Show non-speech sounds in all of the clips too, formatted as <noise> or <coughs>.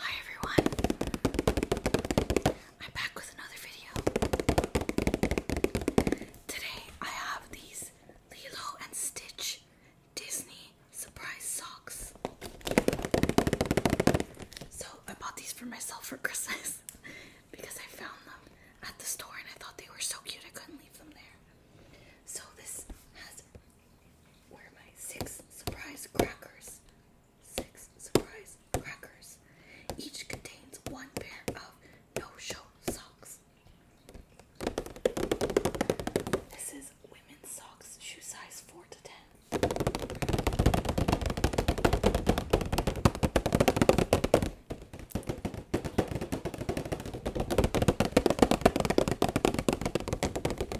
Hi everyone. I'm back with another video. Today I have these Lilo and Stitch Disney surprise socks. So I bought these for myself for <laughs> Christmas because I found them at the store and I thought they were so cute I couldn't leave them there. So this has where are my six surprise crackers? Six surprise crackers. Each contains one pair of no-show socks. This is women's socks, shoe size 4 to 10. I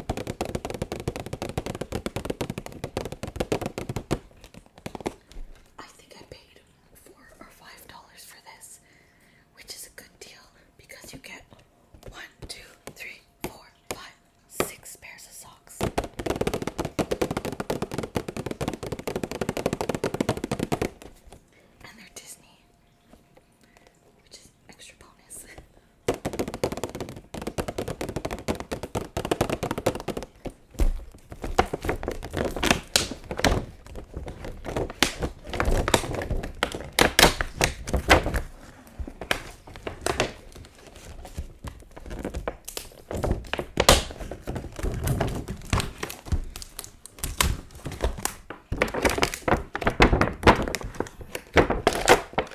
think I paid four or five dollars for this, which is a good deal because you get one, two, three, four, five, six pairs of socks. And they're Disney which is extra bonus. <laughs>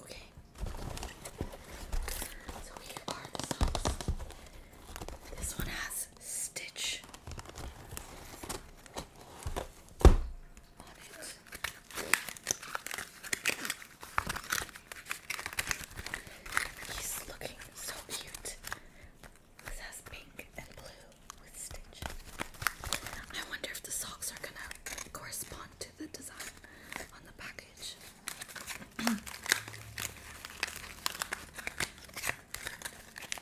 Okay. So here are the socks. This one has stitch He's looking so cute. This has pink and blue with stitch. I wonder if the socks are gonna correspond to the design on the package. <clears throat>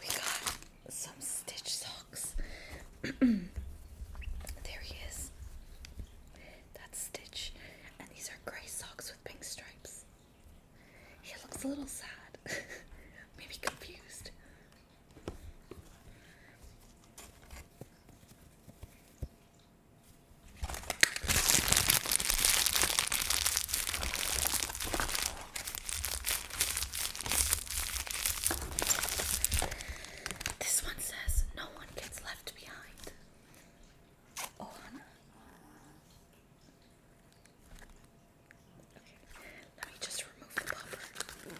We got some stitch socks. <clears throat> there he is. That's Stitch. And these are gray socks with pink stripes. He looks a little sad. <laughs> Maybe confused. This one says no one gets left behind. Oh, Hannah. Okay, let me just remove the bumper.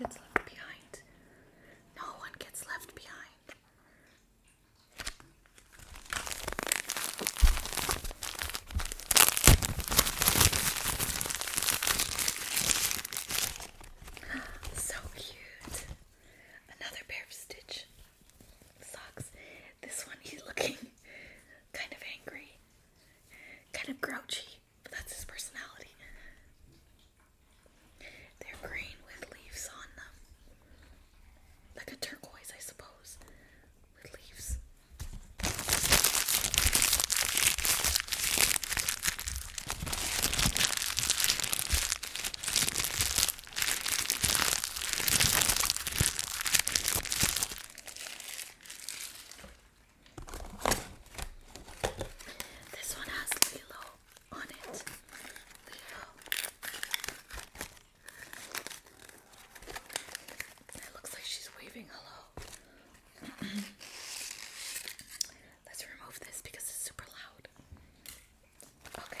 No one gets left behind. No one gets left behind. <gasps> So cute. Another pair of Stitch socks. This one he's <laughs> looking kind of angry, kind of grouchy, but that's his personality. They're green with leaves on them. Like a turquoise, I suppose, with leaves. This one has Lilo on it. It looks like she's waving hello. <clears throat> Let's remove this because it's super loud. Okay.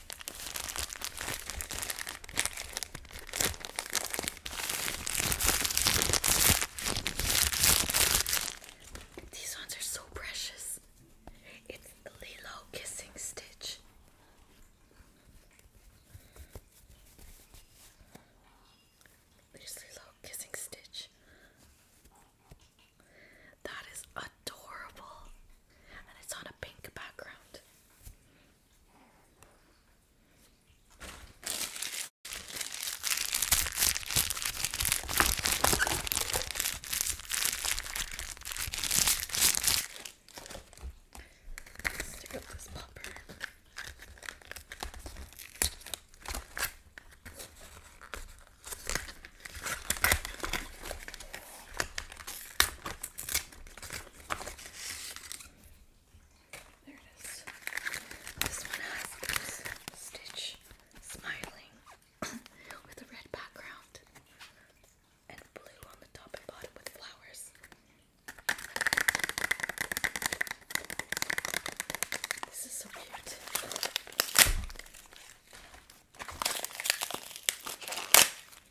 These ones are so precious. It's Lilo Kissing Stitch. Lilo Kissing Stitch. That is adorable and it's on a pink background. let popper. There it is. This one has this stitch smiling <coughs> with a red background and blue on the top and bottom with flowers. This is so cute.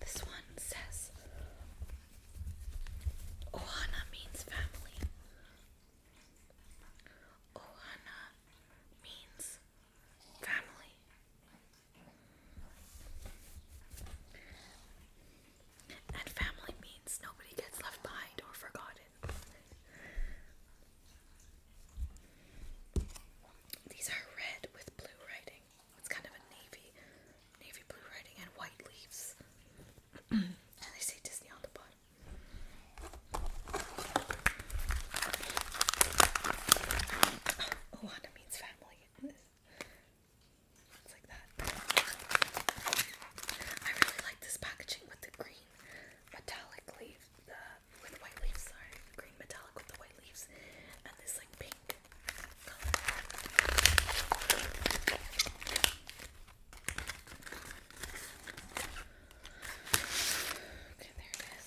This one says Ohana means family. Ohana means family. And family means nobody gets left behind or forgotten. These are red with blue writing. It's kind of a navy, navy blue writing and white leaves. <clears throat> and they say Disney on the bottom. Oh, means family. it's like that. I really like this packaging with the green metallic leaf, with white leaves, sorry, green metallic with the white leaves, and this like pink color. Okay, there it is.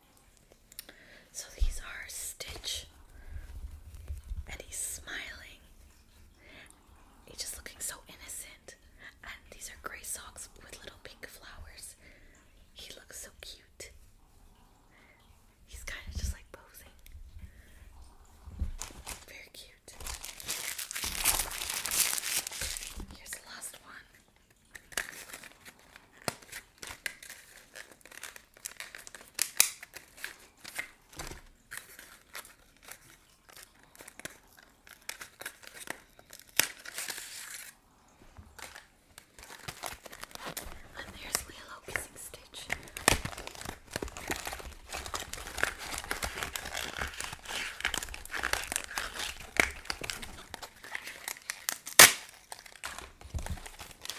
So these are Stitch, and he's smiling. He's just looking so innocent. And these are gray socks with little pink flowers. He looks so cute. He's kind of just like posing. Very cute. Here's the last one. And there's Willow kissing Stitch.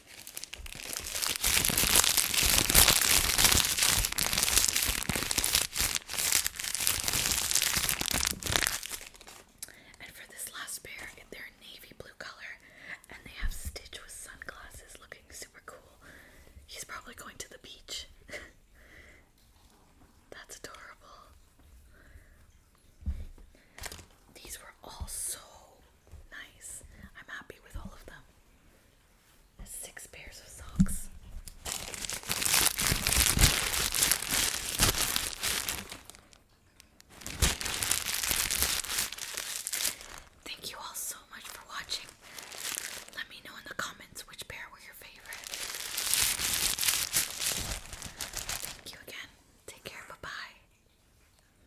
And for this last pair, they're navy blue color and they have Stitch with sunglasses looking super cool. He's probably going to the beach. <laughs> That's adorable. These were all Nice. I'm happy with all of them. There's six pairs of socks. Thank you all so much for watching. Let me know in the comments which pair were your favorite. Thank you again. Take care. Bye bye.